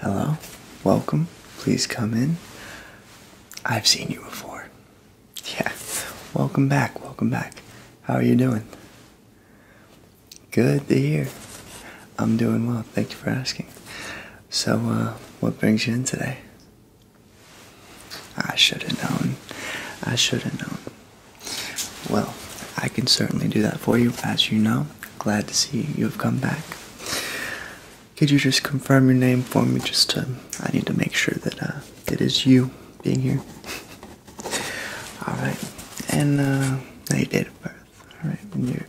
Hello, welcome. Please come in. I've seen you before. Yes. welcome back, welcome back. How are you doing? Good to hear. I'm doing well, thank you for asking. So, uh, what brings you in today? I should have known. I should have known. Well, I can certainly do that for you. As you know, Glad to see you have come back. Could you just confirm your name for me? Just to, I need to make sure that uh, it is you being here. all right, and uh, now date of birth. All right, and you're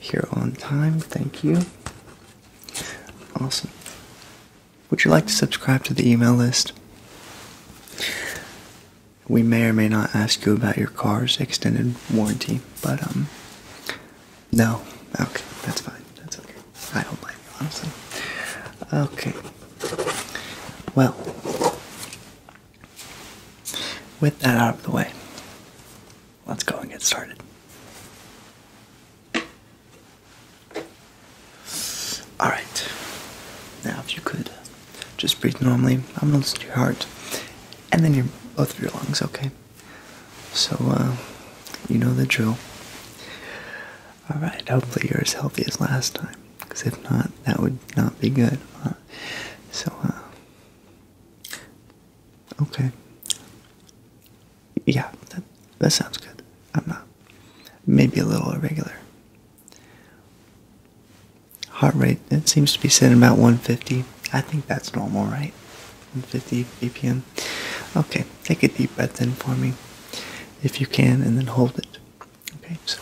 here on time. Thank you. Awesome. Would you like to subscribe to the email list? we may or may not ask you about your car's extended warranty, but um, no, okay, that's fine, that's okay. I don't mind. you, honestly. Okay, well, with that out of the way, let's go and get started. All right, now if you could. Just breathe normally. I'm gonna listen to your heart, and then your both of your lungs. Okay. So uh, you know the drill. All right. Hopefully you're as healthy as last time, because if not, that would not be good. So uh, okay. Yeah, that that sounds good. I'm not. Maybe a little irregular. Heart rate, it seems to be sitting about 150. I think that's normal, right? 150 BPM. Okay, take a deep breath in for me if you can, and then hold it. Okay, so.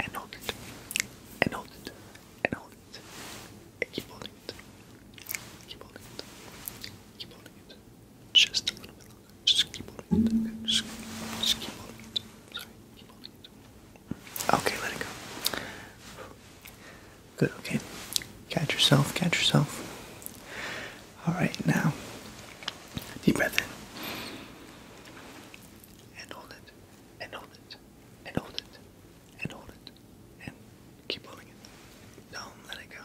And hold it. And hold it. And hold it. And keep holding it. Keep holding it. Keep holding it. Just a little bit Just keep holding it. just keep holding it. Sorry. Keep holding it. Okay, let it go. Good, okay. Catch yourself, catch yourself. Alright, now. Deep breath in. And hold it. And hold it. And hold it. And hold it. And keep holding it. Don't let it go.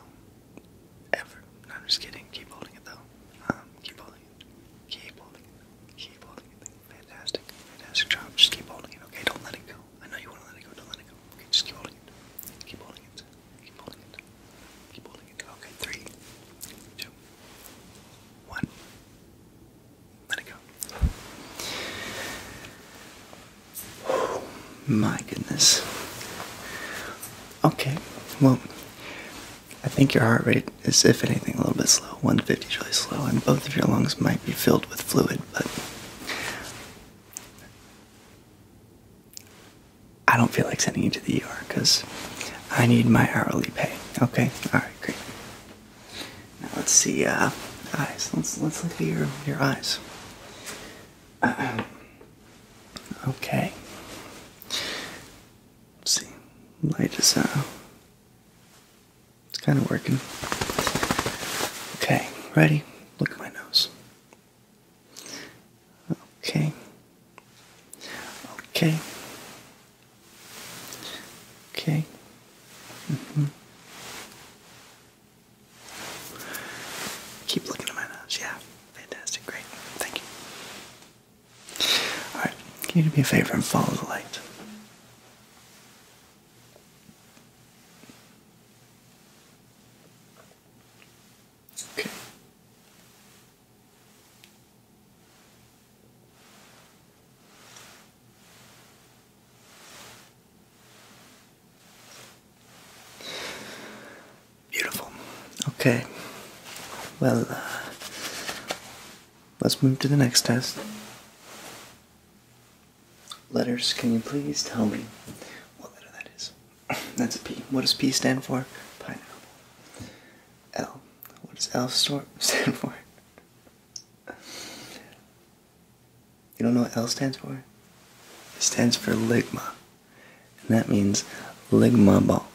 Ever. No, I'm just kidding. Keep holding it though. Um, keep holding it. Keep holding it. Keep holding it. Fantastic. Fantastic job. Just keep holding it, okay? Don't let it go. I know you want to let it go. Don't let it go. Okay, just keep holding it. Keep holding it. Keep holding it. Keep holding it. Okay, three, two, one. Let it go. my goodness. Okay, well, I think your heart rate is, if anything, a little bit slow. 150 is really slow, and both of your lungs might be filled with fluid, but I don't feel like sending you to the ER because I need my hourly pay. Okay? Alright, great. Now let's see, uh, eyes. Let's, let's look at your, your eyes. okay see, light is uh, it's kind of working. Okay, ready? Look at my nose. Okay. Okay. Okay. -hmm. Keep looking at my nose. Yeah, fantastic, great. Thank you. Alright, can you do me a favor and follow the light? Okay. Beautiful. Okay. Well, uh, Let's move to the next test. Letters, can you please tell me what letter that is? That's a P. What does P stand for? Pineapple. L. What does L stand for? You don't know what L stands for? It stands for Ligma. And that means Ligma ball.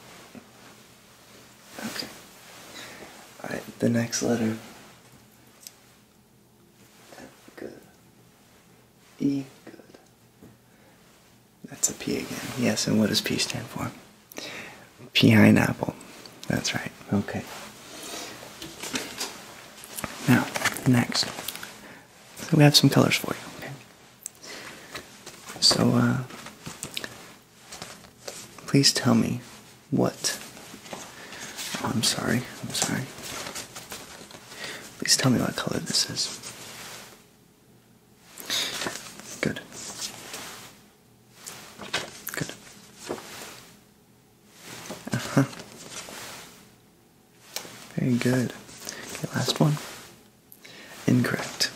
Okay. Alright, the next letter. good. E, good. That's a P again. Yes, and what does P stand for? Pineapple. That's right. Okay. Now, next. we have some colors for you, okay? So, uh, Please tell me what. Oh, I'm sorry. I'm sorry. Please tell me what color this is. Good. Good. Uh-huh. Very good. Okay, last one. Incorrect.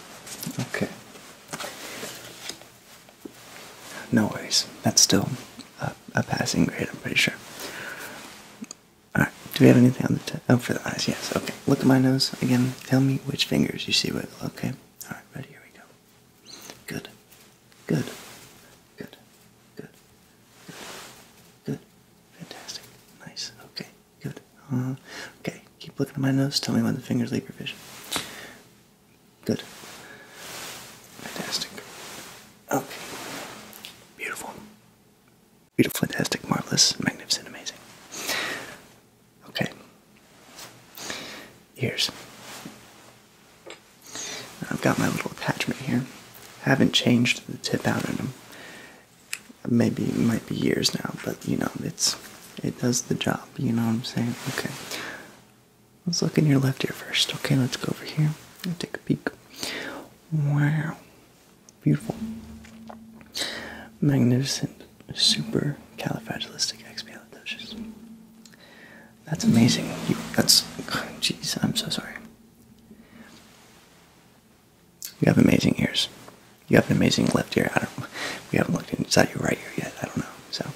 Okay. No worries. That's still a, passing grade, I'm pretty sure. Alright, do we have anything on the tip? Oh, for the eyes, yes. Okay, look at my nose again. Tell me which fingers you see wiggle, okay? Alright, ready, here we go. Good. Good. Good. Good. Good. Good. Fantastic. Nice. Okay. Good. Uh, okay, keep looking at my nose. Tell me when the fingers leave your vision. Good. Fantastic. Okay. Beautiful. Beautiful, fantastic, marvelous, magnificent, amazing. Okay. Ears. I've got my little attachment here. haven't changed the tip out of them maybe it might be years now, but you know, it's it does the job, you know what I'm saying? Okay. Let's look in your left ear first. Okay, let's go over here and take a peek. Wow. Beautiful. Magnificent super califragilistic califragilisticexpialidocious. That's amazing. that's jeez, I'm so sorry. You have amazing ears. You have an amazing left ear. I don't. We haven't looked inside your right ear yet. I don't know. So.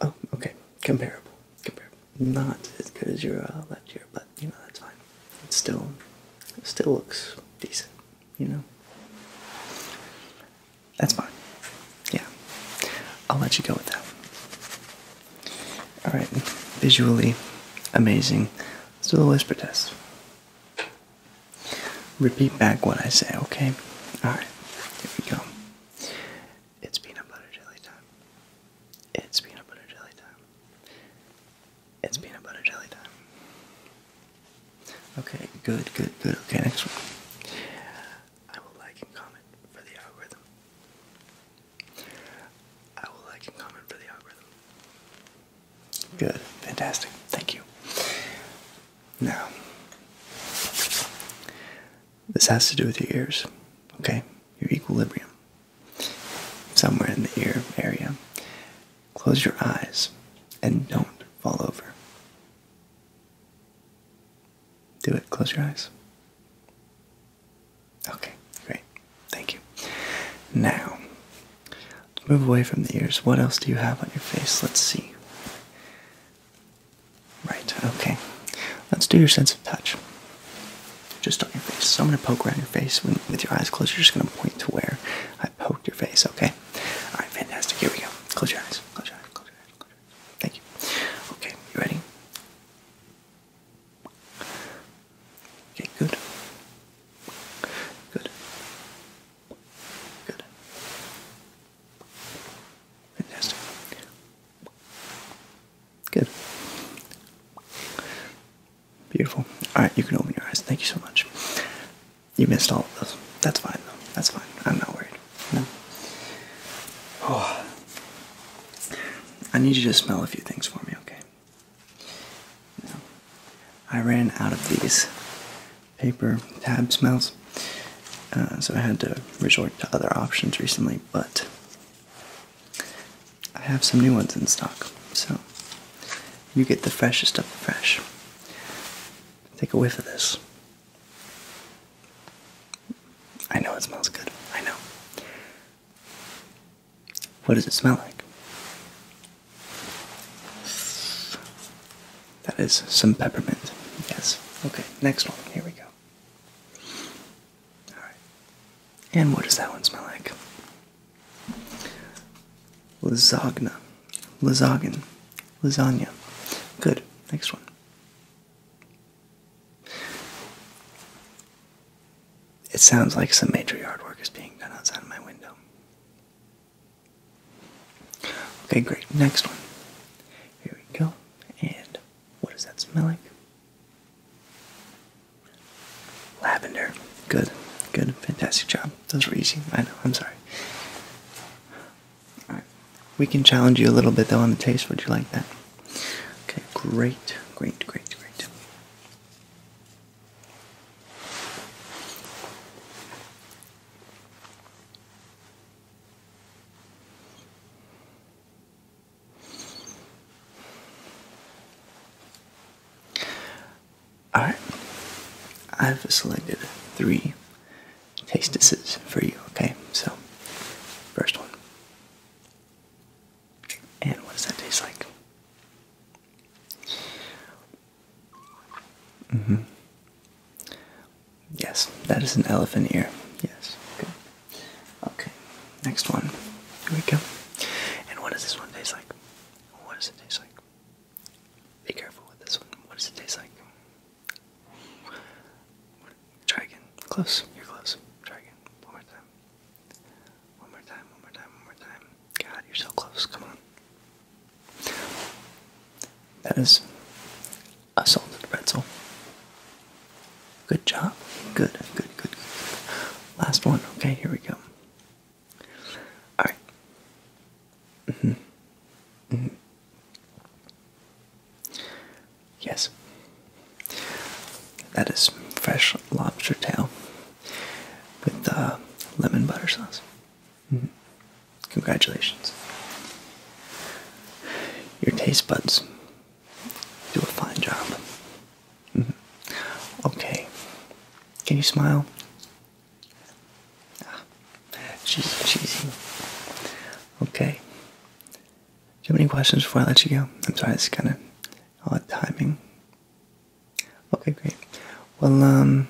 Oh, okay. Comparable. Comparable. Not as good as your uh, left ear, but you know that's fine. It still, still looks decent. You know. That's fine. Yeah. I'll let you go with that. Alright, visually amazing. Let's do the whisper test. Repeat back what I say, okay? Alright, here we go. It's peanut butter jelly time. It's peanut butter jelly time. It's peanut butter jelly time. Okay, good, good, good. Okay, next one. I will like and comment for the algorithm. I will like and comment for the algorithm. Good. Fantastic. Thank you. Now, this has to do with your ears, okay? Your equilibrium. Somewhere in the ear area. Close your eyes and don't fall over. Do it. Close your eyes. Okay, great. Thank you. Now, let's move away from the ears. What else do you have on your face? Let's see. Right, okay. Let's do your sense of touch. Just on your face. So I'm going to poke around your face when, with your eyes closed. You're just going to point to where I poked your face, okay? Alright, fantastic. Here we go. Close your eyes. Close your eyes. Close your eyes. Close your eyes. Thank you. Okay, you ready? Okay, good. Good. Good. Fantastic. Good. Beautiful. Alright, you can open your eyes. Thank you so much. You missed all of those. That's fine, though. That's fine. I'm not worried. No. Oh. I need you to smell a few things for me, okay? I ran out of these paper tab smells, uh, so I had to resort to other options recently, but I have some new ones in stock, so you get the freshest of the fresh. Take a whiff of this. I know it smells good. I know. What does it smell like? That is some peppermint. Yes. Okay, next one. Here we go. Alright. And what does that one smell like? Lasagna. Lasagna. Lasagna. Good. Next one. It sounds like some major yard work is being done outside of my window. Okay, great. Next one. Here we go. And what does that smell like? Lavender. Good. Good. Fantastic job. Those were easy. I know. I'm sorry. Alright. We can challenge you a little bit though on the taste. Would you like that? Okay, great. Great, great, great. Alright, I've selected three taste tastises for you, okay? So, first one and what does that taste like? Mm hmm. Yes, that is an elephant ear. Yes. Good. Okay. Next one. Here we go. And what does this one taste like? What does it taste like? Be careful with this one. What does it taste like? Try Close. You're close. Try One more time. One more time, one more time, one more time. God, you're so close. Come on. That is a salted pretzel. Good job. Good, good, good, Last one. Okay, here we go. Alright. Mm-hmm. hmm Yes. That is fresh lobster tail with uh, lemon butter sauce. Mm-hmm. Congratulations. Your taste buds do a fine job. Mm-hmm. Okay. Can you smile? Ah, she's cheesy. Okay. Do you have any questions before I let you go? I'm sorry, it's kind of odd timing. Okay, great. Well, um,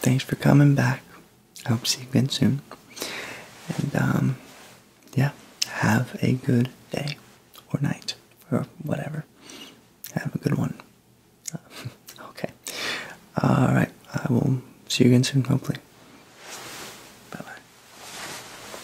thanks for coming back. I hope to see you again soon. And, um, yeah, have a good day or night or whatever. Have a good one. okay. All right. I will see you again soon, hopefully. Bye bye.